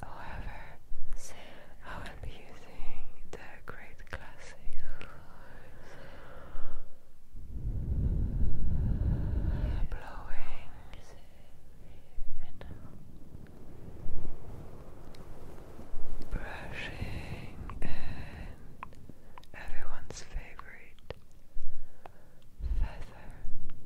However, I will be using the Great Classic blowing brushing and everyone's favorite feather.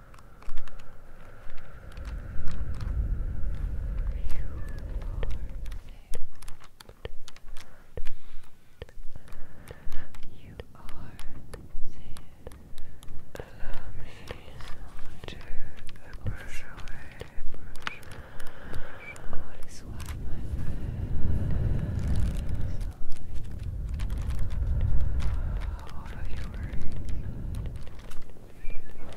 You are safe. Allow me to brush away, brush away. All is well, my friend. All of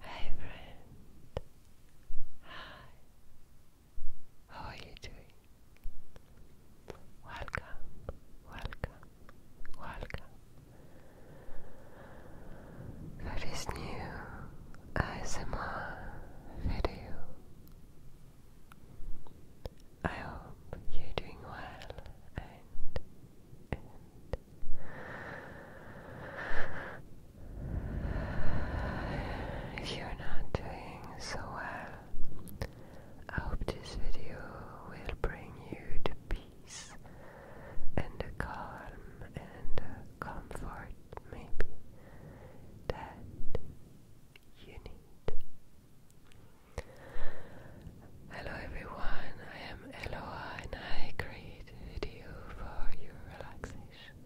Hey friend, hi, how are you doing? Welcome, welcome, welcome for this new ASMR video. I hope you're doing well and if you're not doing so well, I hope this video will bring you the peace and a calm and a comfort, maybe, that you need. Hello everyone, I am Eloa and I create video for your relaxation.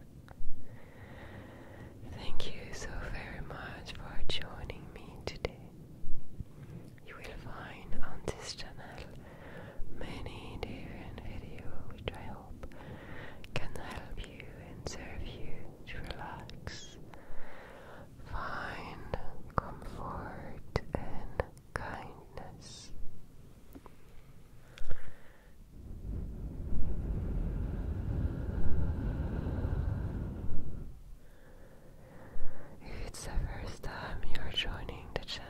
Thank you so very much for joining me today. You will find on this channel many different videos which I hope can help you and serve you to relax, find comfort and kindness. If it's the first time you're joining the channel,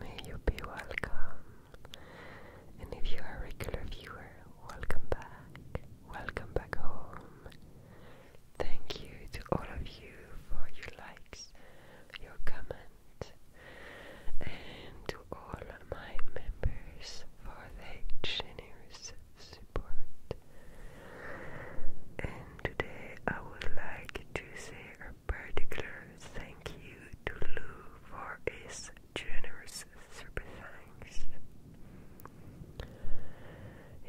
May you be welcome. And if you are a regular viewer, welcome back. Welcome back home. Thank you to all of you for your likes, your comment, and to all of my members for their generous support. And today I would like to say particular thank you to Lou for his generous support.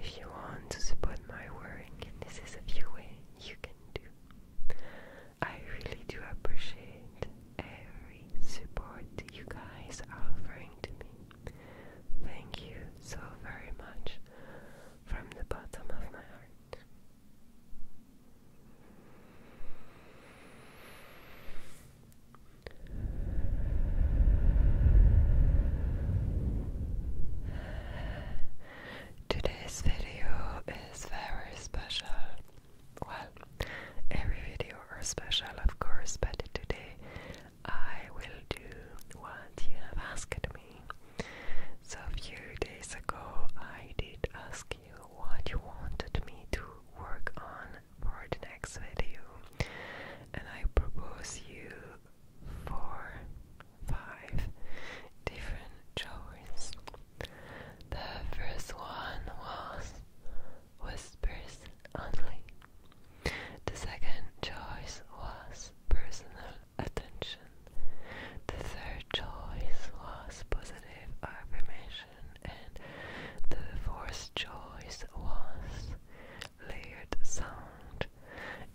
If you want to support my work, this is a few ways you can do. I really do appreciate every support you guys are offering to me. Thank you so very much from the bottom of my heart. Today's video is very special. Well, every video are special, of course, but today I will do what you have asked so a few days ago, I did ask you what you wanted me to work on for the next video, and I propose you four, five different choices. The first one was whispers only. The second choice was personal attention. The third choice was positive affirmation, and the fourth choice was layered sound.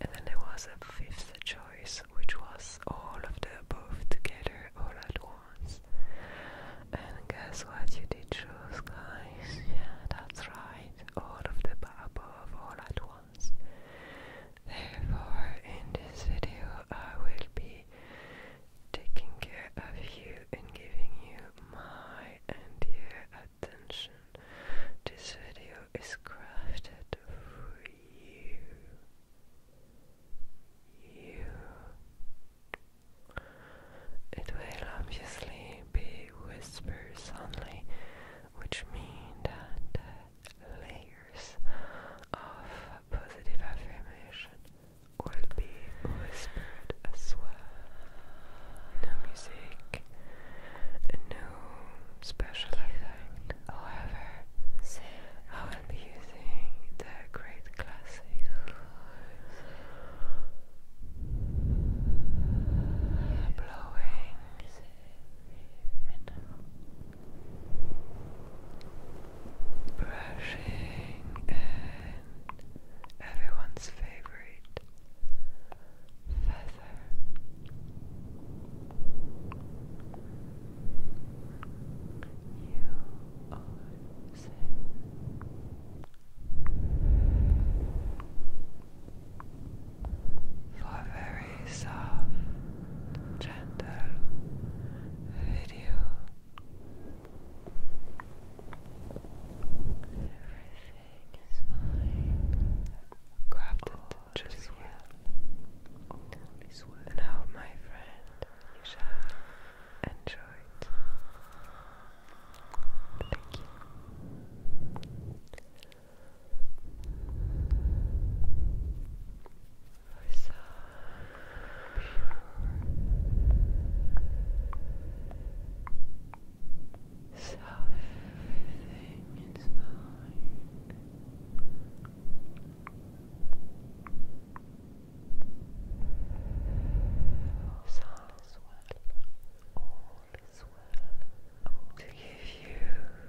And then there was a fifth choice, which was all of the above together all at once. And guess what you did choose, guys? Yeah, that's right. All of the above all at once. Therefore, in this video, I will be taking care of you and giving you my entire attention. This video is crafted for you. You. It will obviously be whispers only, which mean that layers of positive affirmation will be whispered No music, no special effect. However, I will be using the great classic. Blowing and brushing and everyone's favorite feather. You are very very soft, gentle video. Everything is fine. Grabbed just well. Now, my friend, you shall enjoy it. Thank you so everything is fine. all is well. All is well. to give you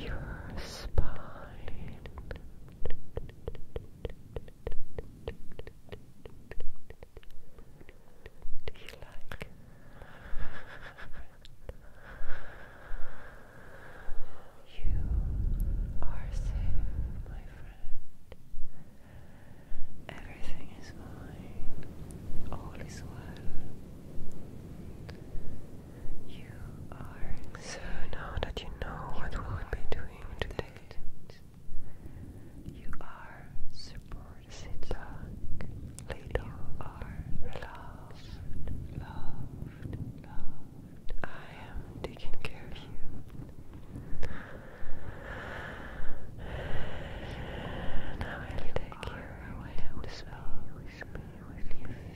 your spine. Do you like? You are safe, my friend. Everything is fine. All is well so now that you know what we will be doing today. You are supported. Sit back. loved, loved, I am taking care of you. Now I will take you away with me, with you.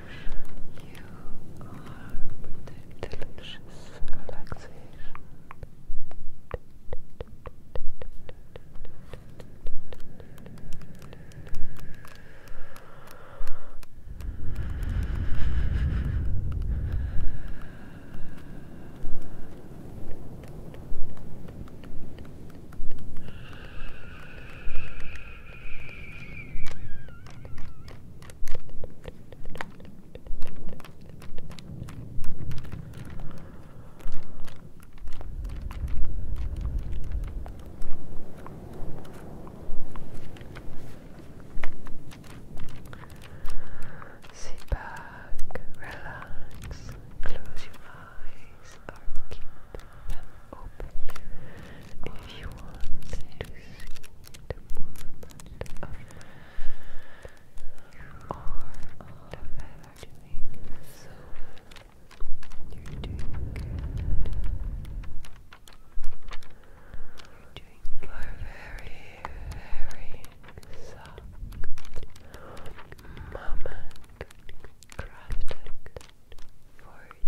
You are protected. Delicious Relaxation. Sit back, relax, close your eyes or keep them if you want to movement of you are doing so you're doing good you're very, very soft moment crafted for you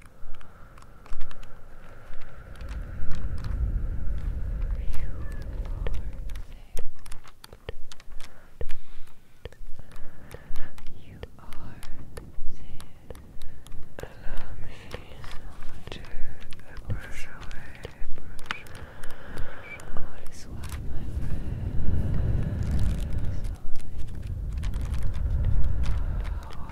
You are safe. Allow me to brush away, brush away. What is why my friend is All of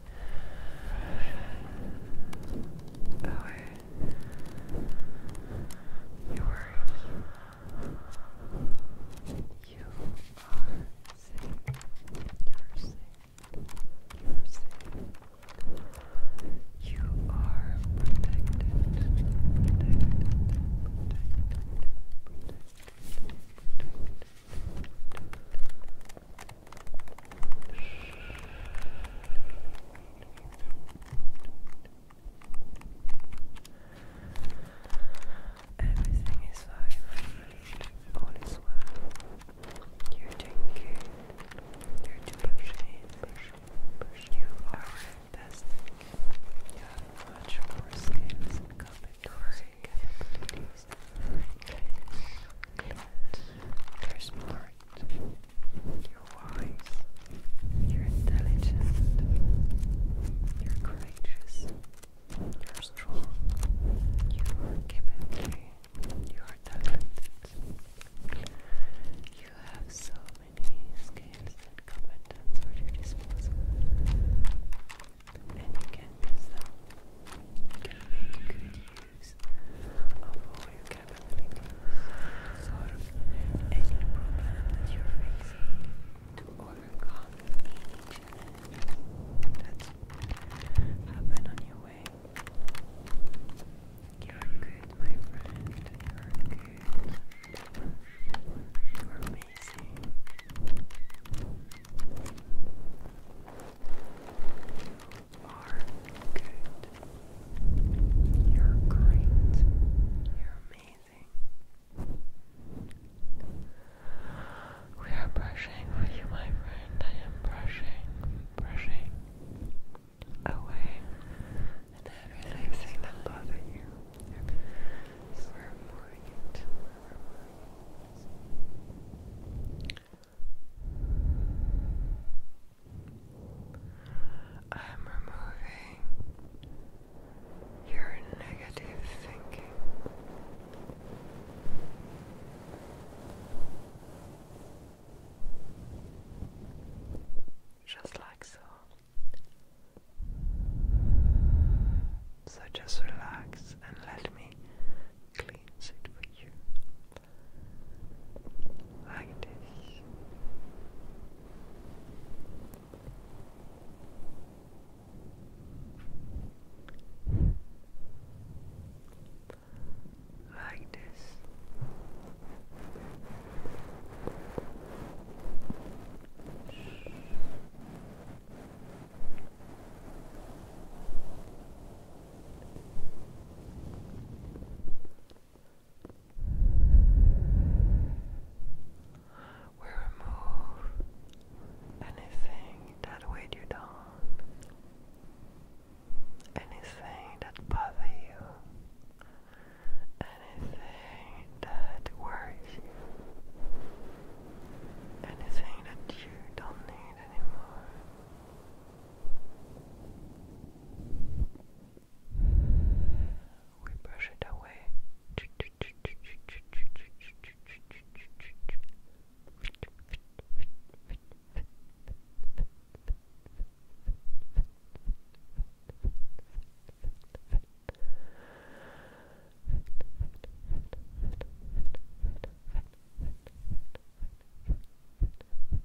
power your words. You are sick. You're sick. You're sick. You are protected. Protected. Protected. Protected. Protected. Everything is fine, All is well. You're doing good. You're doing great. You are fantastic. You much more skills and competency There's more you're wise, you're intelligent, you're courageous, you're strong, you are capable, you are talented. You have so many skills and competence at your disposal, and you can use them. Good, good issues or you can solve any problem that you're facing to overcome any that's happen on your way. You're good, my friend. You're good. You're amazing. You are good. You're great. You're amazing. We are brushing for you, my friend. I am brushing, brushing away everything that bothers you. We're removing it. I'm removing your negative thinking. Just like so. So just relax and let me cleans it for you like this. Like this, we remove anything that weighed you down, anything that bothers you, anything that worries you, anything that you don't need anymore. We brush it away.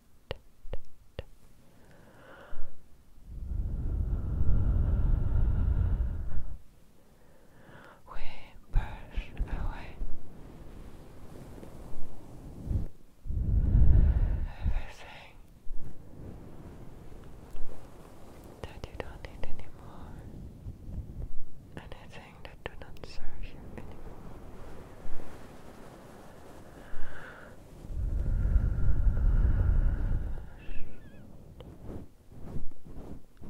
We brush away everything that you don't need anymore, anything that do not serve you anymore.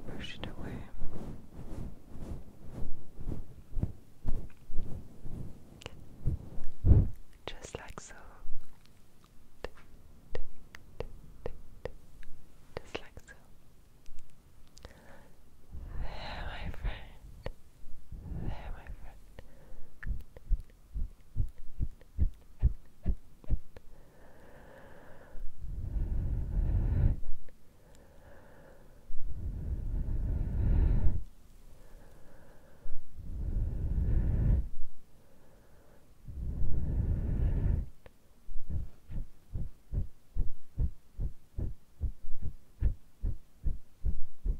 Brush it away. Just like so. Just like so. my friend. There, my friend. There,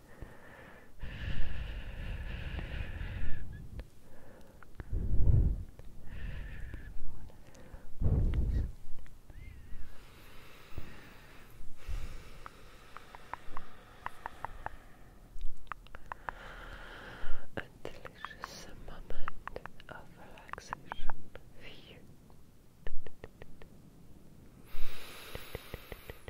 A delicious moment of relaxation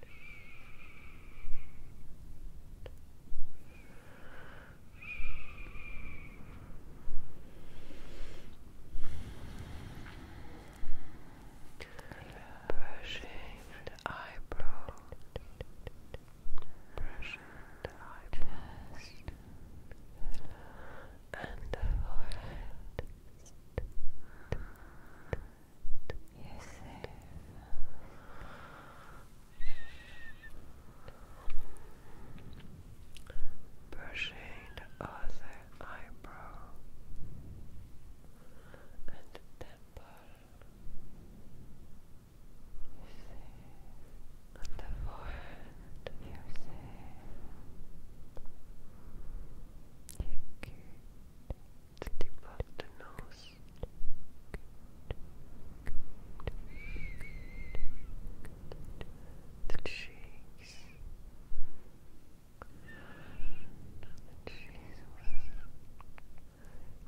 Brushing the eyebrow, brushing the eyebrow, and the forehead. You're Brushing the other eyebrow and temple. You're safe. the forehead. You're You're let tip up the nose. Good. The cheeks. The cheeks.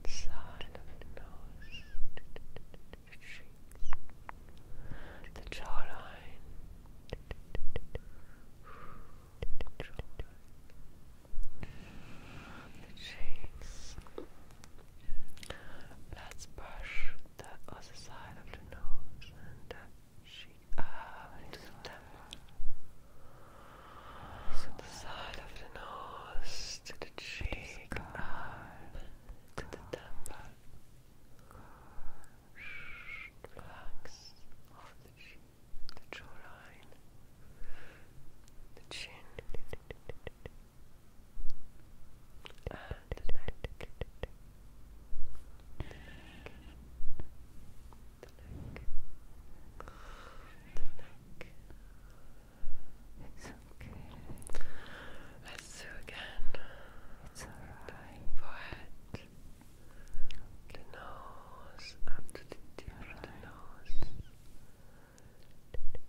The side of the nose. The jawline the cheeks. Let's brush the other side of the nose and the cheek up into the temple. side of the nose to the cheek up to the temple. Relax the jawline, the chin, and the neck, It's okay. Let's do again. It's alright. Forehead. The nose up to the tip of the nose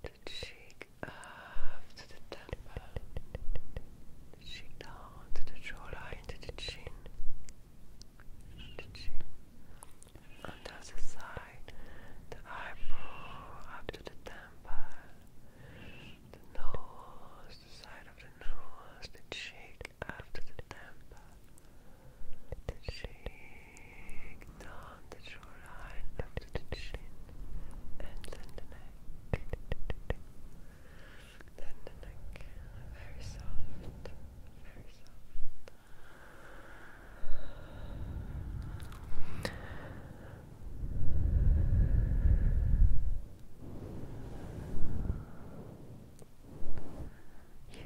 the cheek up the temple, the cheek down the jawline, to the chin, the the side, the eyebrow up the temple, the nose, the side of the nose, the cheek up the temple the cheek, down the shoreline, up to the chin, and then the neck. Then the neck, very soft, very soft. You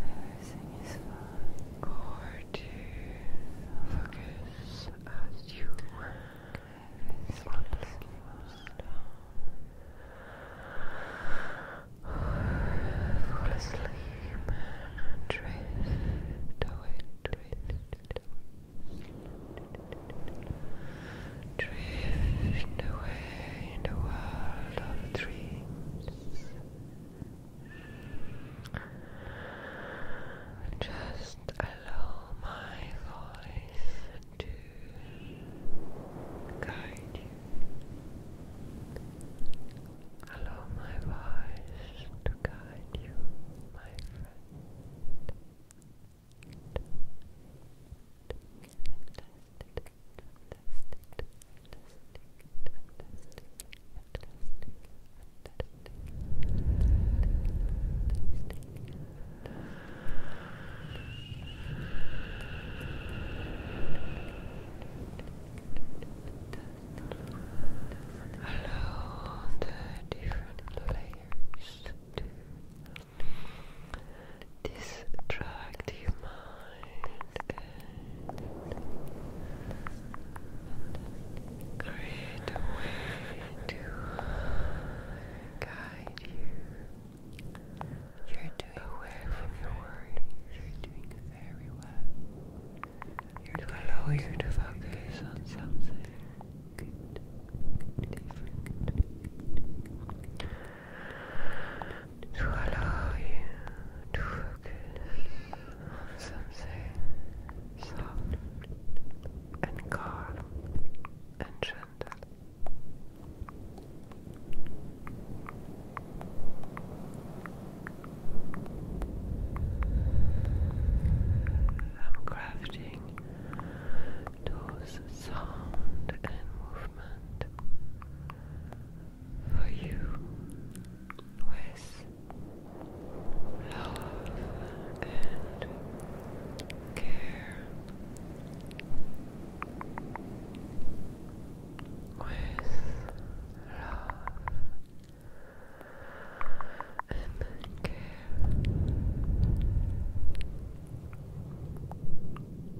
Everything is Gorgeous. as you work. Everything Fall asleep and drift away, drift away. Drift away in the world of dreams. Just allow my voice to guide you. Allow my voice to guide you, my friend. Hello, the different layers distract your mind and create a way to guide you. You're doing away from your worries. You're doing very well. You're to allow you to focus on something good, different, to allow you to focus on something soft and calm and gentle. I'm crafting those sound and movement for you with love and care with love and care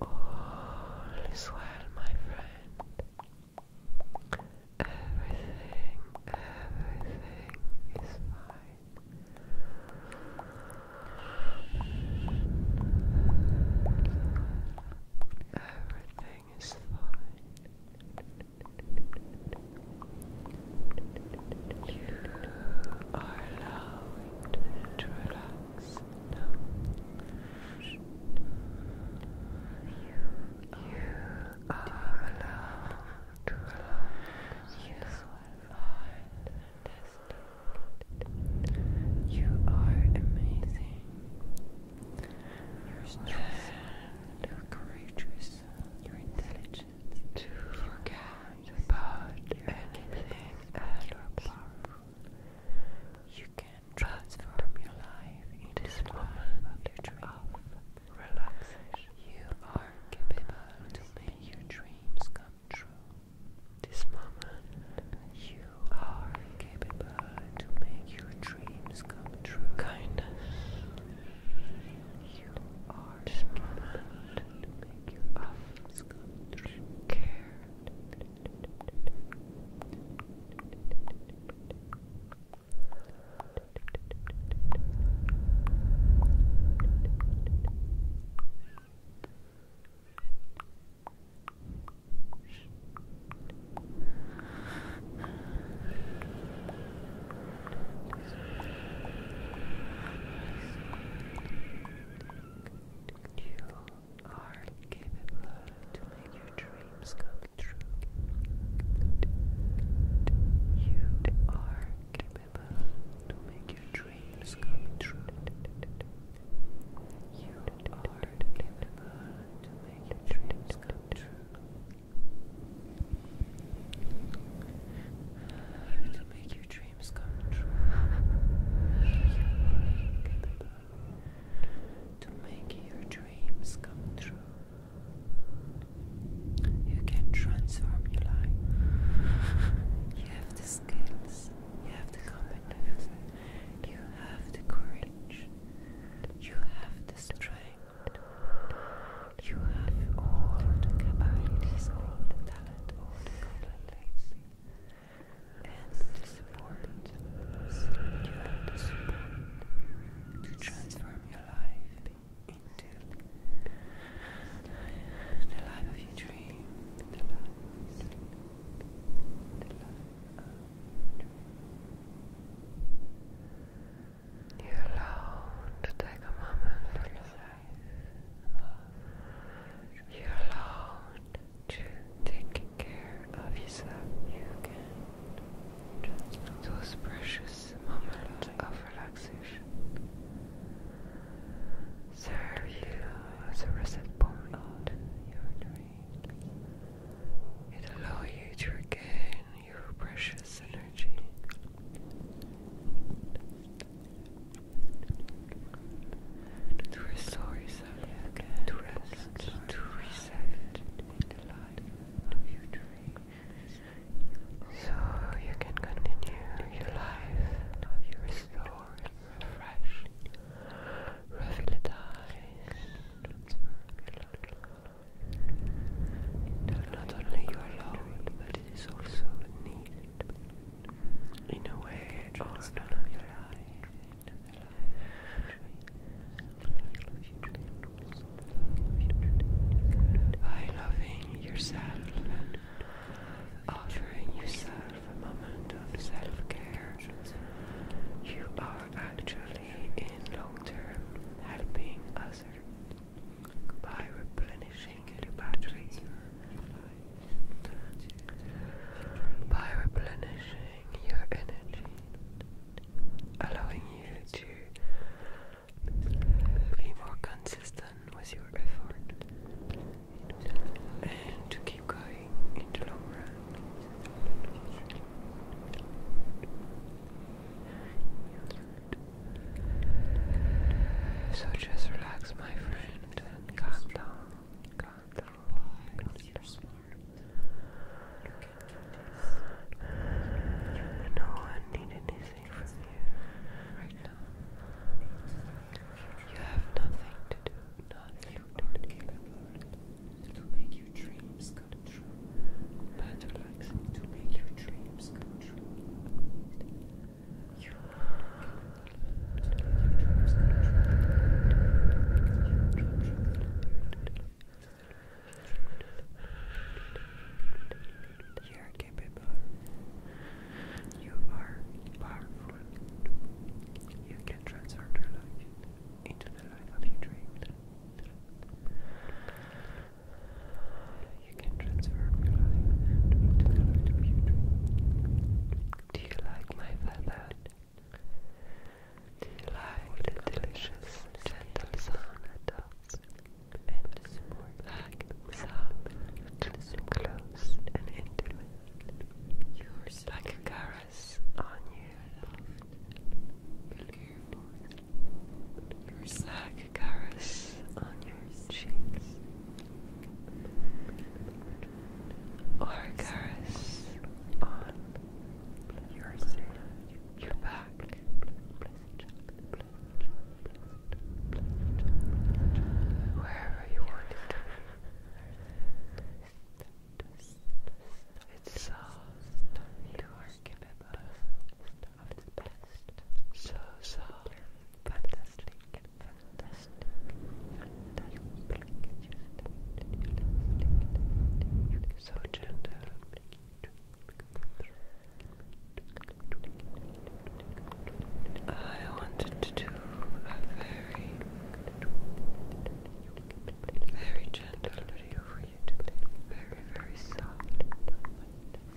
All is my friend. Everything, everything is fine. Everything is fine are allowing to relax now. You are allowed to relax. You are You are amazing. You're strong. You're courageous. You're intelligent to forget about anything else. You can transform your life into this moment of relaxation. You are capable to make your dreams come true. This moment, you are capable to make your dreams come true. Kindness you are smart to make your office care. You are capable to make your dreams come true. You are capable to make your dreams come true. You are capable to make your dreams come true to make your dreams come true, to make your dreams come true. You can transform your life. You have the skills, you have the competence, you have the courage, you have the strength. You have all the capabilities, all the talent, all the competencies, and the support. to transform your life into the life of your dream, the life of your dream you are allowed to take a moment for yourself. You are allowed to take care of yourself. You can those precious moments of relaxation serve you as a reset point. It allows you to regain your precious energy. To restore to rest, to reset in the So you can continue your life your restored, refreshed, revitalized, that not only you are loved, but it is also needed in a way or another. By loving yourself and offering yourself a moment of self care, you are actually in long term helping others by replenishing your batteries. By replenishing your energy, allowing you to be more consistent with your effort and to keep going in the long run. So just relax, my friend, calm down. No one needs anything from you You have nothing to do. Nothing you are capable. make your dreams come true to make your dreams come true. to make your dreams come true. You are capable. You are powerful. You can transform your life into the life of your dreams. You Do you like my feather? Do you like the delicious gentle sound it And like soft, just close and intimate. like a caress on you. Slack on your cheeks, or on your back. Wherever you want it. It's soft. You are capable of the best. So, so fantastic, fantastic, fantastic. So gentle. I wanted to do a very, very gentle video Very, very soft.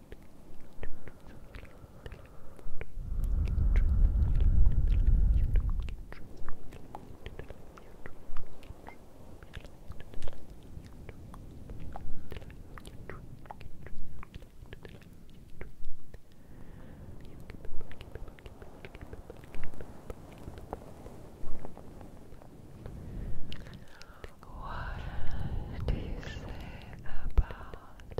what do you say about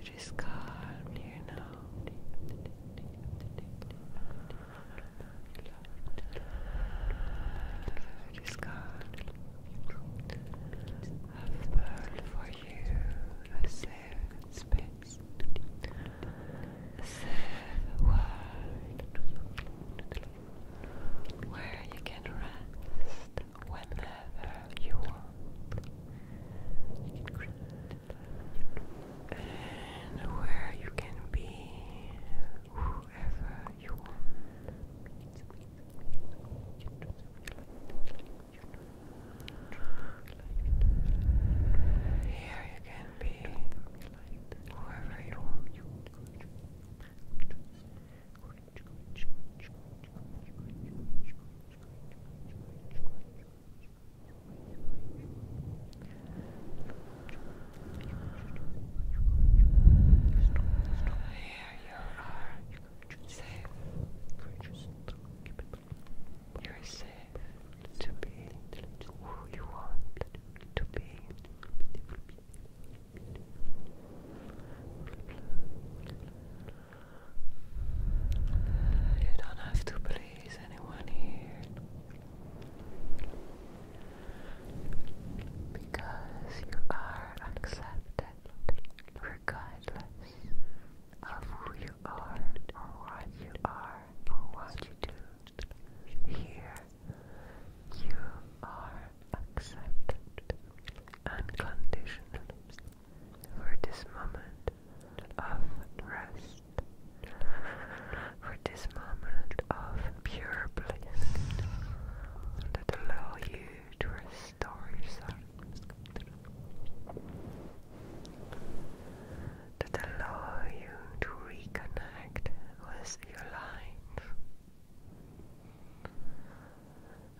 It is calm here now. It is I've built for you a safe space, a safe world where you can rest whenever you want. You can create And where you can be whoever you want. Here you can be whoever you want are safe. You are safe to be who you want to be. You don't have to please anyone here because you are accepted regardless of who you are or what you are or what you do. Here you are Accept unconditionally for this moment of rest, for this moment of pure bliss that allow you to restore that allow you to reconnect with your life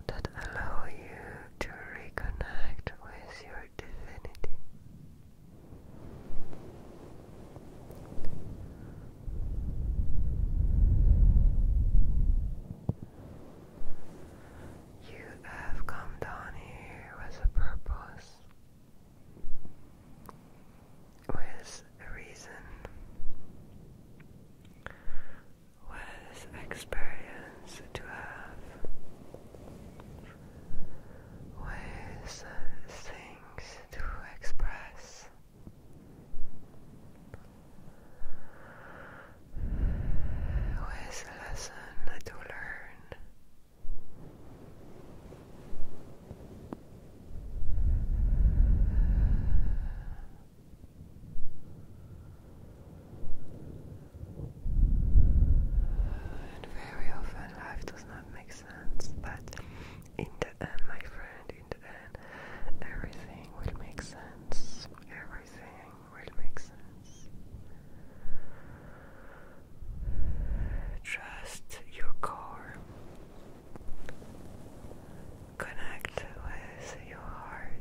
that allow you to reconnect with your divinity. You have come down here with a purpose, with a reason, with experience to have ways, things to express. With a lesson to learn, and very often life does not make sense, but in the end, my friend, in the end, everything will make sense. Everything will make sense. Trust your core. Connect with your heart.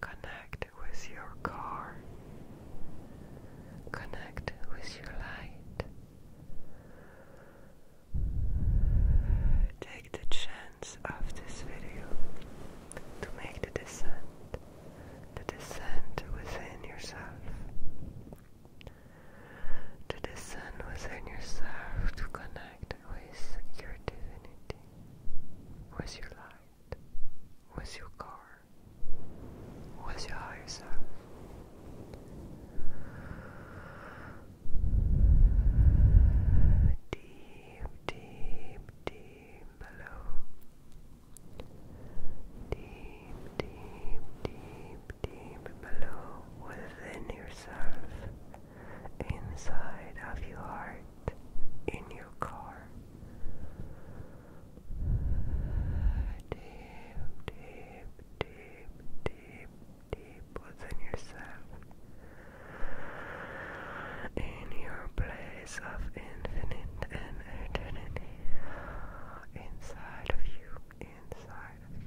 Connect with your car. Connect with your light. Take the chance of this video to make the descent, the descent within yourself, the descent within yourself to connect with your divinity, with your light, with your car, with your higher self. Deep, deep, deep below. Deep, deep, deep, deep below within yourself, inside of your heart in your car. Deep, deep, deep, deep, deep within yourself. In your place of infinite and eternity. Inside of you, inside of you.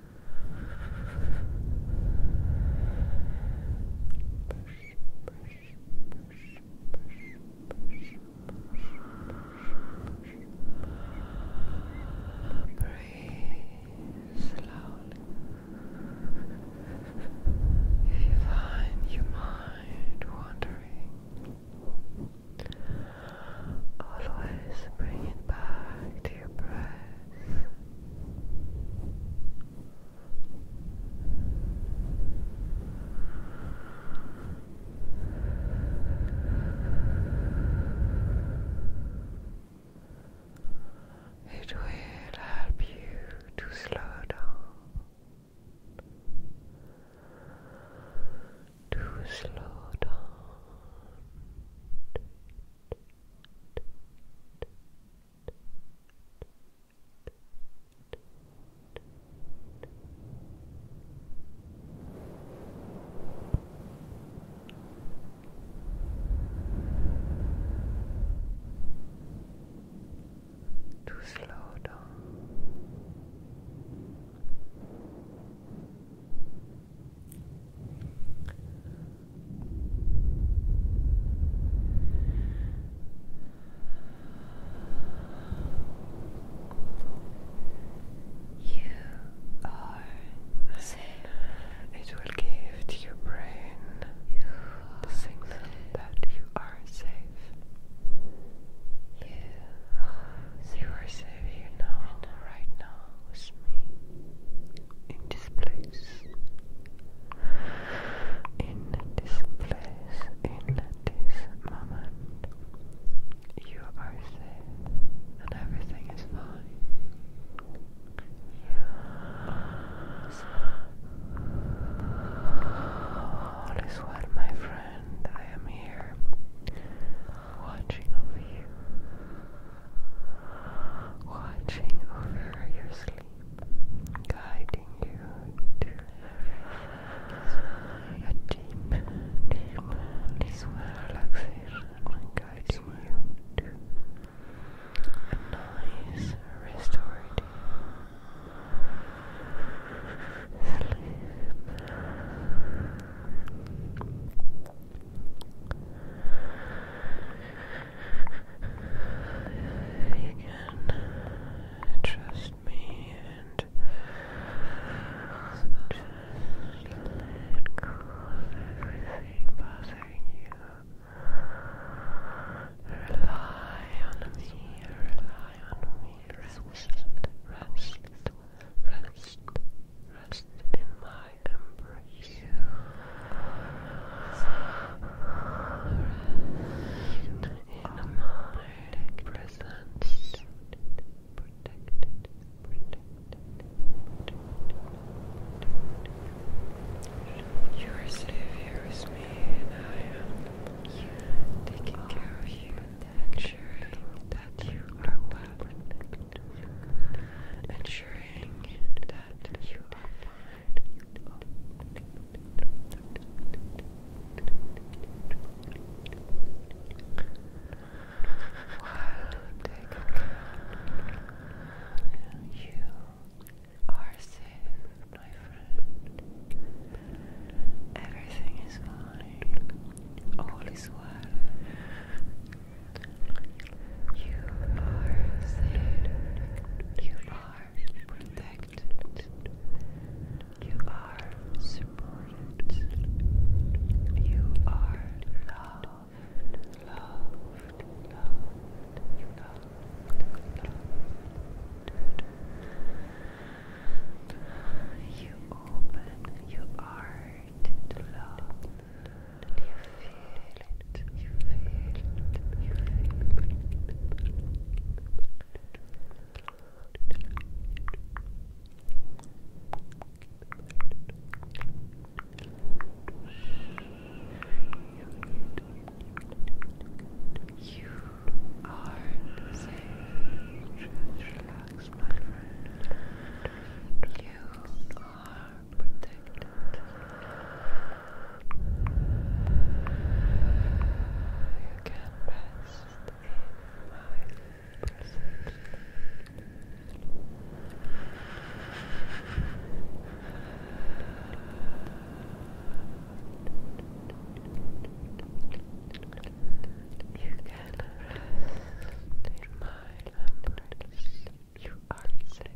Breathe slowly. If you find your mind wandering, always bring it back to your breath. It will help you to slow down, to slow down to slow down. You are safe. It will give to your brain the signal that you are safe. You are safe. You are right now with me. In this place, in this moment, you are safe and everything is fine. All is well, my friend. I am here watching over you watching over your sleep, guiding you to a deep, deep, deep relaxation, guiding you to a nice, restorative sleep. You can trust me and just let go of everything bothering you. Rely on me, rely on me. Rest, rest, rest, rest I embrace you. in my presence. Protected, protected, protected. You are safe here with me, and I am taking care of you, ensuring that you are well, ensuring that you are fine. you are safe, my friend. Everything is fine. All is well. You are safe. You are protected. You are supported. You are loved. Loved. Loved. Loved. You open your heart to it, you feel it, you feel it. You are safe. Just relax, my friend. You are are You can rest in my presence. You can rest in my embrace. You you are safe.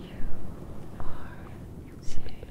You are safe.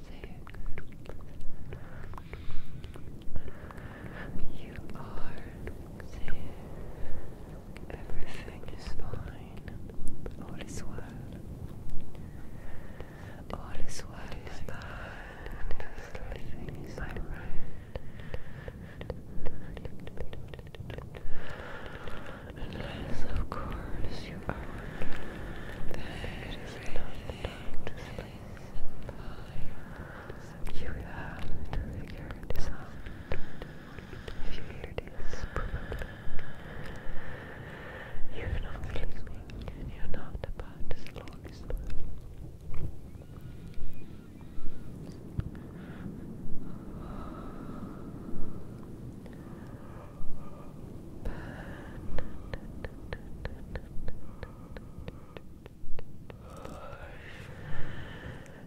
sick. You are sick. Everything is fine. All is well. All is well. Everything is alright. Unless, of course, you are. There is nothing to sleep by. You have to figure If you hear this, You're not sleeping and you're not about to slowly sleep. Relax.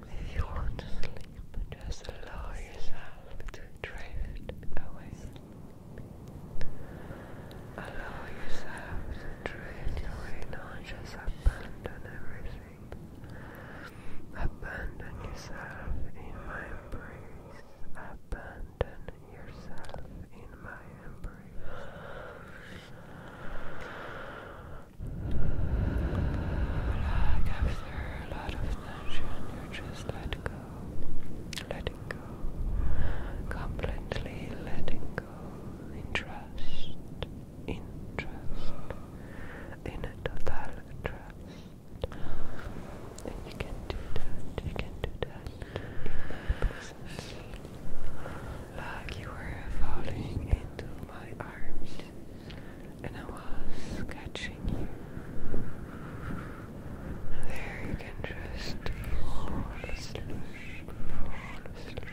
If you want to sleep, just allow yourself to drift away. Allow yourself to drift away, not just abandon everything. Abandon yourself in my embrace. Abandon Abandon yourself in my embrace. after a lot of tension, you just let go. Letting go. Completely letting go. In trust. In trust. In a total trust. You can do that. You can do that. Like you were falling into my arms, and I was catching you. There you can just fall asleep. Fall asleep.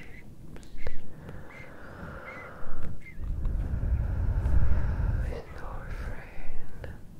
With your friend.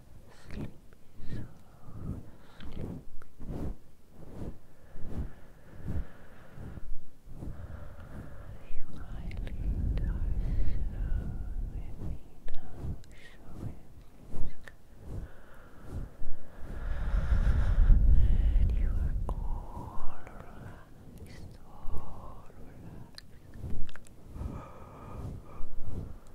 sleepy, so sleepy. You eyelids are so heavy now, so heavy. And you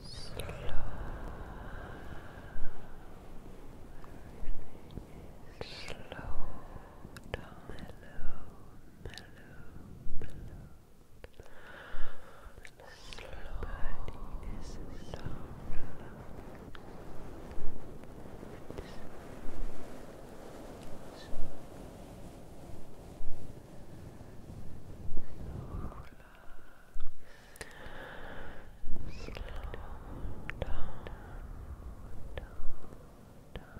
Slow, slow, slow, slow, slow, slow, slow, slow, slow, slow, slow, slow Slow down, down, down Slow down, down,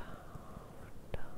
down, down,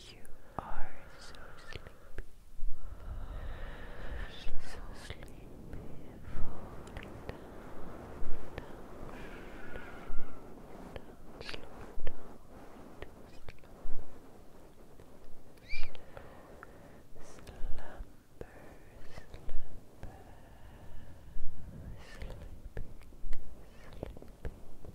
You are so sleepy. So sleepy. Fall down, down, down, slow down, slow. Slumber, slumber, sleeping.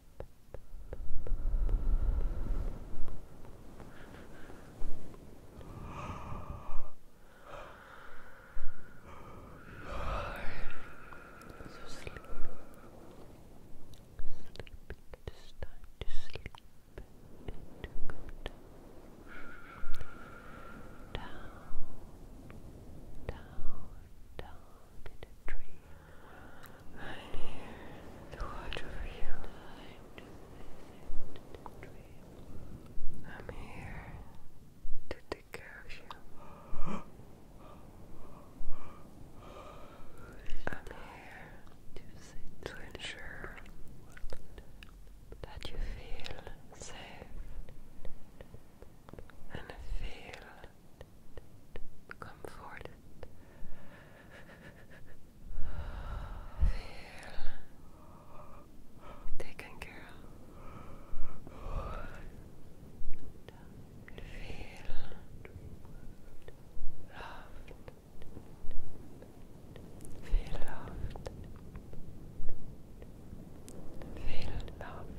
So sleep. Sleep. It is time to sleep and to go down. Down, down, down, in a dream I'm here to watch you. I'm here to take care of you. I'm here to ensure that you feel safe and feel comforted. Feel taken care of. Feel loved. Feel loved. Feel loved.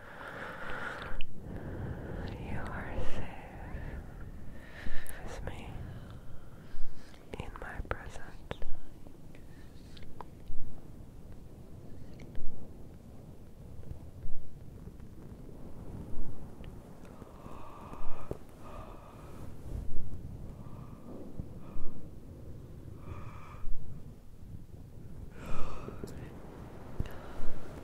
You are safe with me in my presence.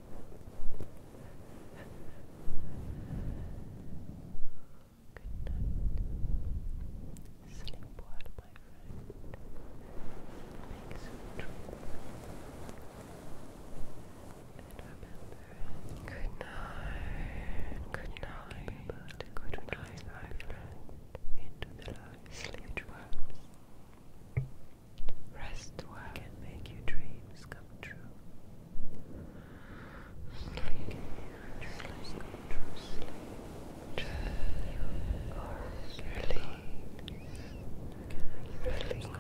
Sleep well, my friend. Make some dreams. good night. Good night. my friend. Into the Sleep well. Rest well. Can make your dreams come true. Sleep. Can make your dreams come true. Sleep. You are relieved. Really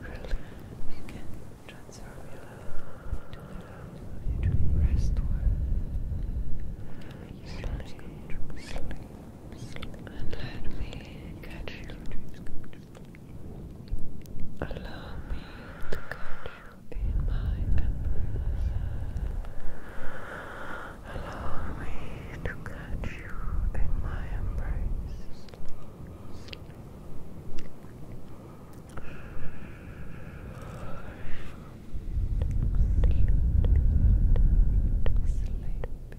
Really, you can transform your love into the love of your dream. Rest well. Sleep. Sleep and let me catch you. Allow me to catch you in my embrace. Allow me to catch you in my embrace. You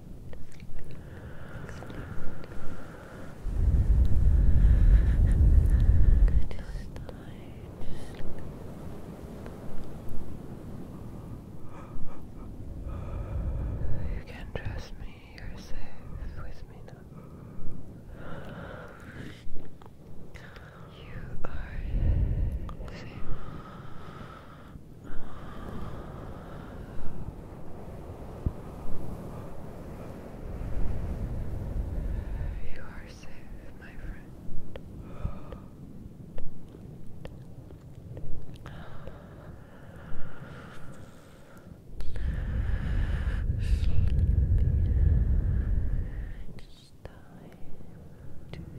can trust me, you're safe with me now. You are safe. You are safe, my friend. Sleep. It's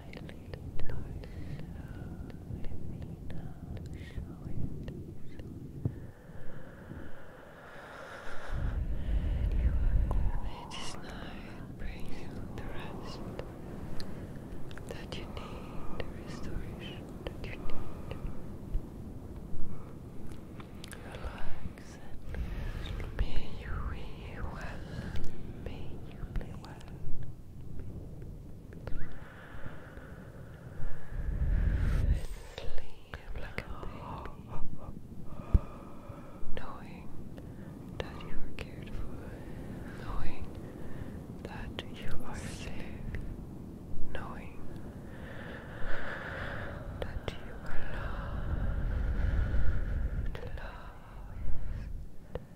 It is night brings the rest that you need, the restoration that you need. Relax and may you be well, may you be well. Sleep knowing that you are cared for, knowing that you are safe, knowing that you are loved, loved.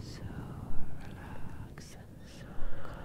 So relaxed and so calm.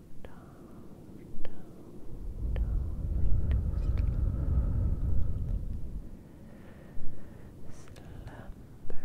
Sleeping, sleeping, sleeping, sleeping, sleeping,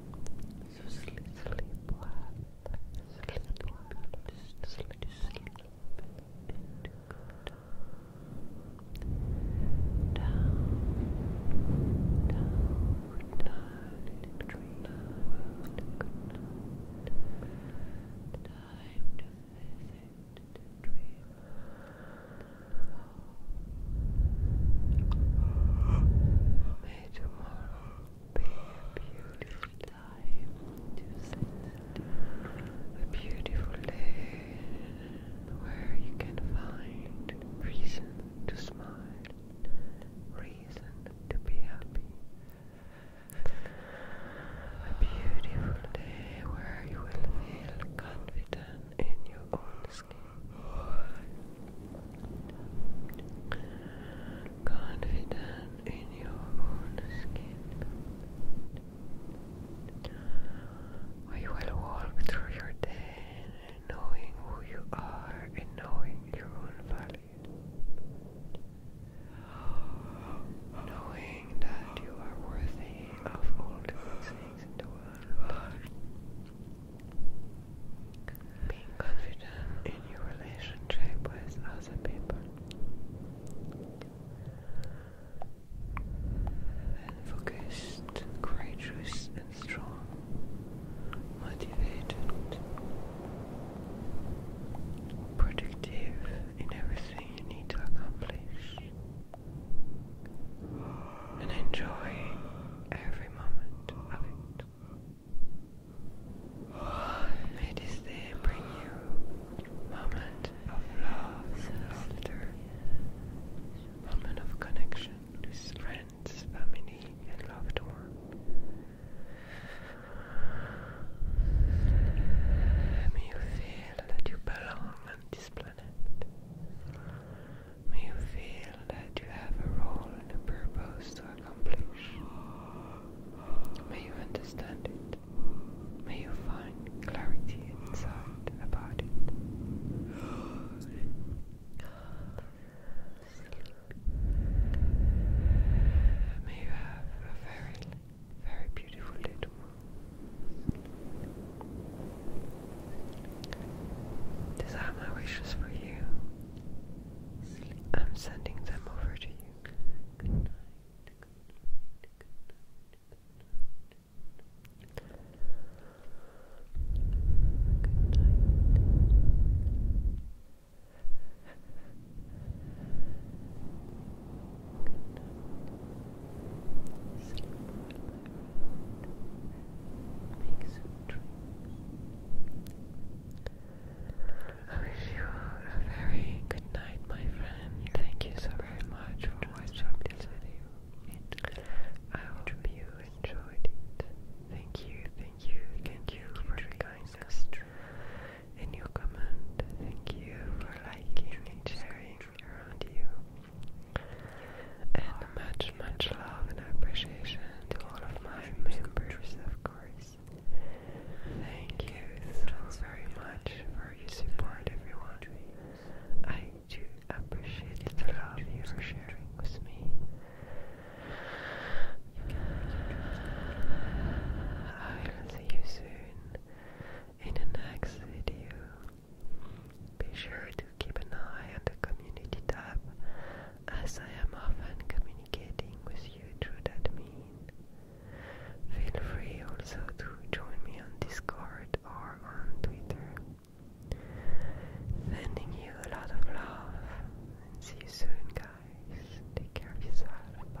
So sleep, sleep well, sleep well, just sleep, sleep into good. Down, down, down, into dream world, good night. Time to visit the dream. May tomorrow be a beautiful time A beautiful day where you can find reason to smile, reason to be happy. A beautiful day where you will feel confident in your own skin confident in your own skin. We will walk through your day knowing who you are and knowing your own value. Knowing that you are worthy of all the things in the world. Being confident in your relationship with other people. And focused, courageous, and strong, motivated, productive in everything you need to accomplish and enjoy every moment of it. May this day bring you moment of love laughter, moment of connection with friends, family, and loved one. May you feel that you belong on this planet. May you feel that you have a role and a purpose to accomplish. May you understand it. May you find clarity inside about it. May you have a very, very beautiful day these are my wishes for you. I'm sending them over to you. Good night. Good night. Good night. Good night. Sleep well, Make some I wish you a very good night, my friend. Thank you so very much for watching this video. I hope you enjoyed it. Thank you, thank you, thank you for your kindness and your comment. Thank you for liking and sharing around you. And much much, love and appreciation to all of my members, of course. Thank you so very much for your support, everyone. I do appreciate the love you are sharing with me. I will see you soon in the next video. Be sure to keep an eye on the community tab as I am often communicating with you through that mean. Feel free also to join me on Discord or on Twitter. Sending you a lot of love and see you soon, guys. Take care of yourself. Bye.